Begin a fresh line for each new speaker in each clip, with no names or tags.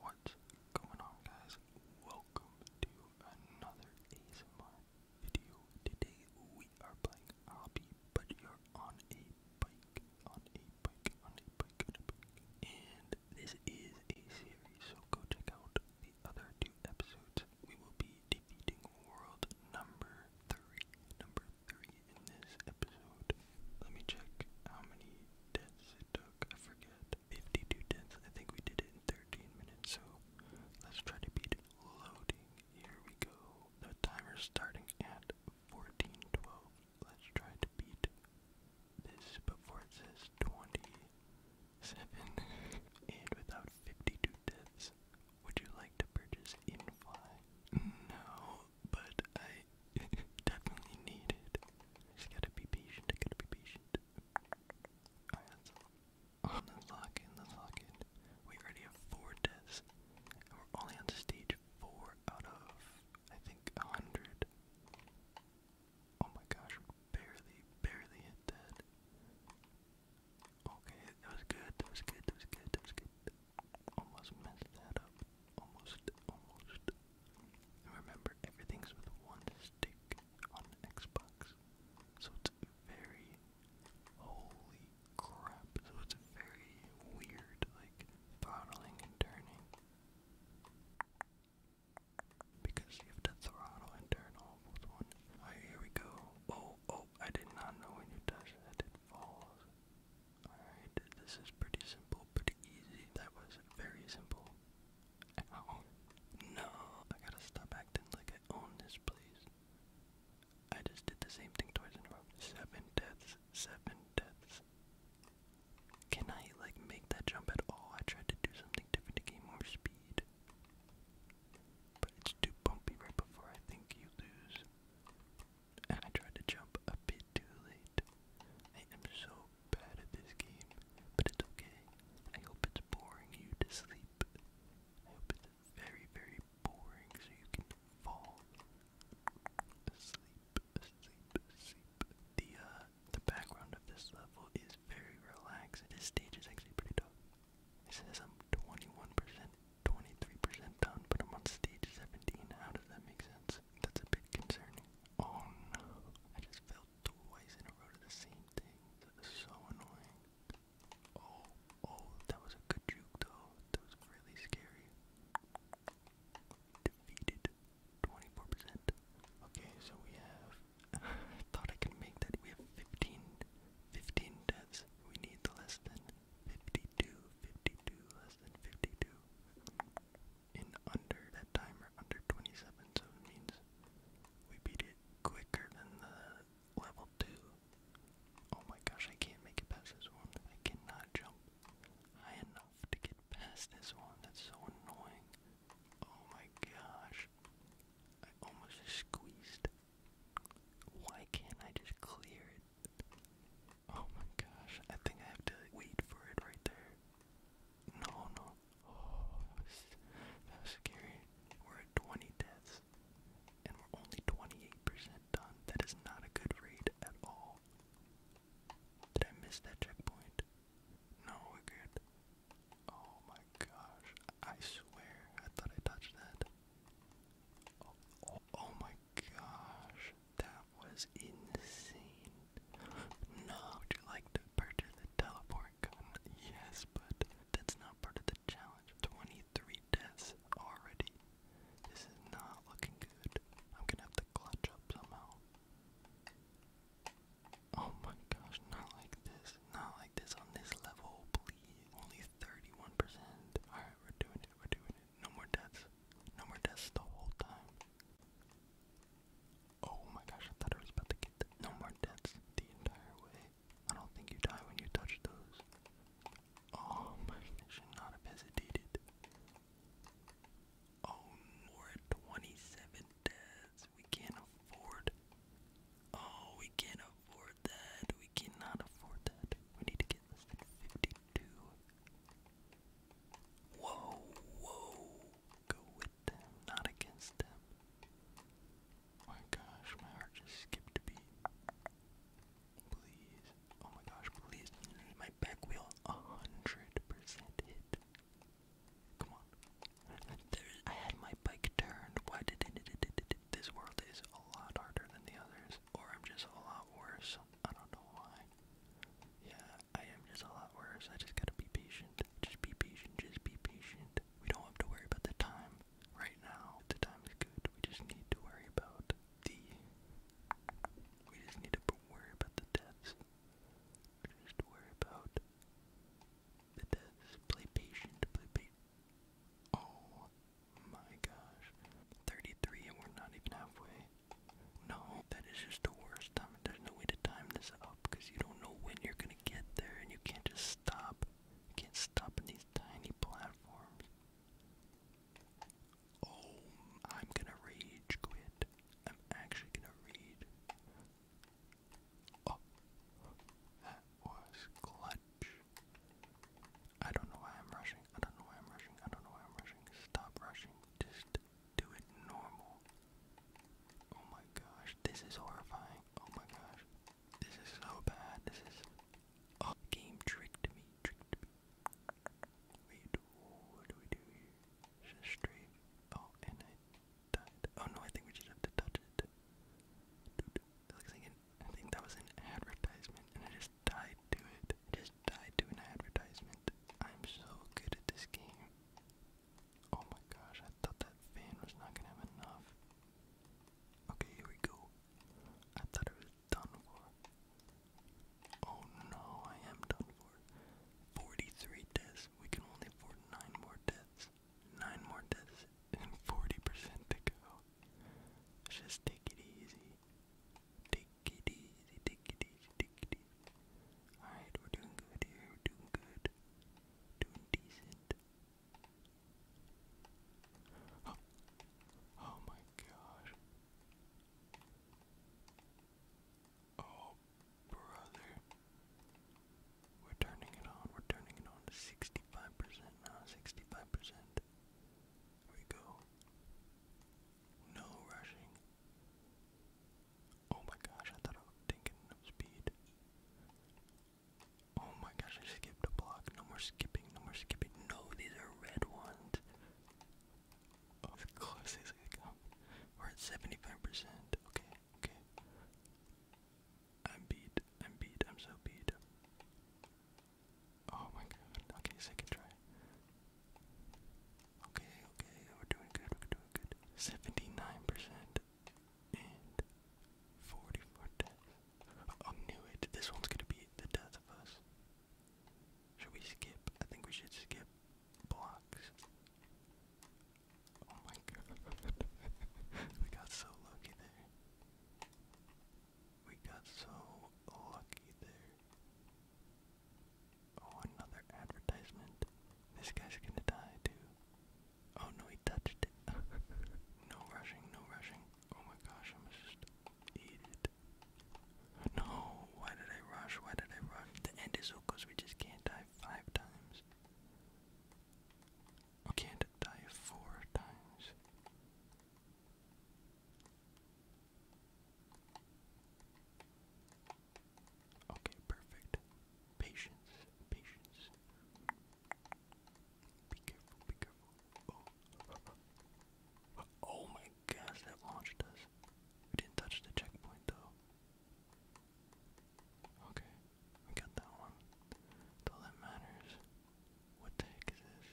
What's going on guys? Welcome to another ASMR video. Today we are playing Obby, but you're on a bike, on a bike, on a bike, on a bike. And this is a series, so go check out the other two episodes. We will be defeating world number three. Number three in this episode. Let me check how many deaths it took. I forget. 52 deaths. I think we did it in 13 minutes, so let's try to beat Loading. Here we go. The timer's starting at 1412. Let's try to beat this before it says 27. and without 52 deaths, would you like to purchase Infly? No, but I definitely need it. Just gotta be patient, I gotta be patient. Alright, that's all. Oh, let lock in, let's We already have four deaths, and we're only on stage four out of, I think, a hundred. Oh my gosh, barely, barely hit that. Okay, that was good, that was good, that was good, that was good. Almost messed that up. Almost, almost, remember, everything's with one stick on an Xbox. So it's very holy crap. So it's very weird, like throttling and turning. Because you have to throttle and turn off one. here we go. Oh, oh, I did not know when you touched that it falls. Alright, this is pretty simple, pretty easy. That was very simple. No! I gotta stop acting like I own this place. I just did the same thing twice in a row. Seven deaths. Seven deaths. Can I, like, make that jump at all? I tried to do something different to gain more speed. But it's too bumpy right before I think you lose and I tried to jump a bit too late. I am so bad at this game, but it's okay. I hope it's boring you to sleep. I hope it's very, very boring so you can fall asleep, asleep, asleep. The, uh, the background of this level is very relaxed. This stage is actually pretty tough. It says I'm 21% 23% done, but I'm on stage 17. How does that make sense? That's a bit concerning. Oh I just fell twice in a row to the same thing. That is so annoying. Oh, oh, that was a good juke though. That was really scary. Defeated 24%. Okay, so we have. thought I could make that. We have 15, deaths. We need less than 52, 52, less than 52. In under that timer, under 27, so it means we beat it quicker than the level 2. Oh my gosh, I can't make it past this one. I cannot jump high enough to get past this one. That's so annoying. Oh my gosh. I almost just squeezed. Why can't I just clear it? Oh my gosh, I think I have to wait for it right there. No, no. Oh, that was, scary. We're at 20 deaths, and we're only 28% done. That is not a good rate at all. Did I miss that checkpoint? No, we're good. Oh my gosh, I swear, I thought I touched that. Oh, oh, my gosh, that was insane. would you like to purchase the teleport gun? Yes, but that's not part of the challenge. 23 deaths already. This is not looking good. I'm gonna have to clutch up somehow. Oh my gosh, not like this. Not like this on this level, please. Only 31%. Alright, we're doing we're doing it. No more deaths. No more deaths the whole time. Oh my gosh, I thought I was about to get No more deaths the entire way. I don't think you die when you touch those. Oh should not have hesitated. Oh, deaths. We can't afford. Oh, we can't afford that. We cannot afford that. We need to get 52. Whoa, whoa. Go with them, not against them. My gosh, my heart just skipped a beat. Please. Oh my gosh, please. My back wheel 100% hit. Come on. I had my bike turned. Why did it? this world is a lot harder than the others, or I'm just a lot worse. I don't know why. Yeah, I am just a lot worse. I just gotta be patient. Just be patient. Just be patient. We don't have to worry about the time right now. The time is good. We just need to worry about the. We just need to worry about the deaths. We just worry about the deaths. Play patient. Play patient. Oh, my gosh. 33 and we're not even halfway. No, that is just the worst time. There's no way to time this up because you don't know when you're gonna get there and you can't just stop. You can't stop in these tiny platforms. Oh, I'm gonna rage quit. I'm actually gonna read. Oh, that was clutch. I don't know why I'm rushing. I don't know why I'm rushing. I don't know why I'm rushing. Stop rushing. Just do it normal. Oh my gosh, this is horrifying. Oh my gosh. This is so bad. This is oh game tricked me. Tricked me. Wait, what do we do here? straight. Oh, and I died. Oh no, I think we just have to touch it. I think that was an advertisement, and I just died to it. just died to an advertisement. I'm so good at this game. Oh my gosh, I thought that fan was not gonna have enough. Okay, here we go. I thought it was done for. Oh no, I am done for. 43 deaths. We can only afford 9 more deaths nine more deaths and 40% to go. Just take it easy. Take it easy, take it easy, take it easy. Alright, we're doing good here, we're doing good. Doing decent. Oh, oh my gosh. Oh, brother. We're turning it on, we're turning it on to 65% now, 65%. Here we go. No rushing. Oh my gosh, I thought I was thinking enough speed. Oh my gosh, I skipped a block. No more skipping, no more skipping. No, these are red ones. Of course, it's like, um, we're at 75%. Okay. Okay. I'm beat. I'm beat. I'm so beat. Oh my god. Okay, second try. Okay, okay, we're doing good, we're doing good. 79% and 44 deaths. Oh, I knew it. This one's gonna be the death of us. Should we skip? I think we should skip blocks. Oh my god. we got so lucky there. We got so lucky there. Oh, another advertisement. This guy's gonna die too. Oh no, he touched it. no rushing, no rushing. Oh my gosh, I'm just eat it. No, why did I rush? Why did I rush? The end is Okos, we just can't die five times. We can't die four times. Okay, perfect. Patience, patience. Be careful, be careful. Oh, oh my gosh, that launched us. We didn't touch the checkpoint though. Okay, we got that one. all that matters. What the heck is this?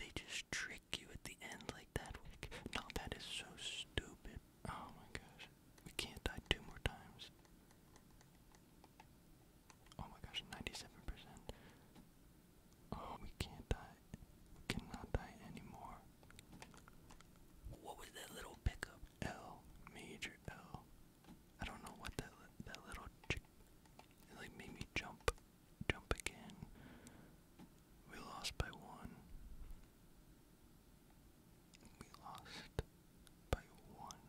They just trick you at the end like that. No, that is so stupid. Oh my gosh. We can't die two more times. Oh my gosh, 97%. Oh, we can't die. We cannot die anymore. What was that little pickup? L major L. I don't know what that that little ch like made me jump, jump again. We lost by one. We lost by one.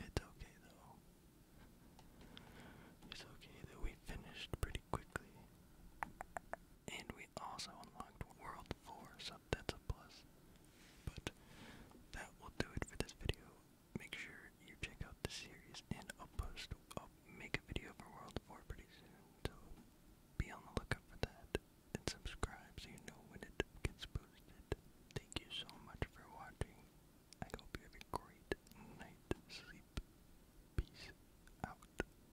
It's okay though. It's okay that we finished pretty quickly. And we also unlocked World 4, so that's a plus. But that will do it for this video. Make sure you check out the series, and I'll post, I'll make a video for World 4 pretty soon, so be on the lookout for that. And subscribe so you know when it gets posted. Thank you so much for watching. I hope you have a great night. Sleep. Peace out.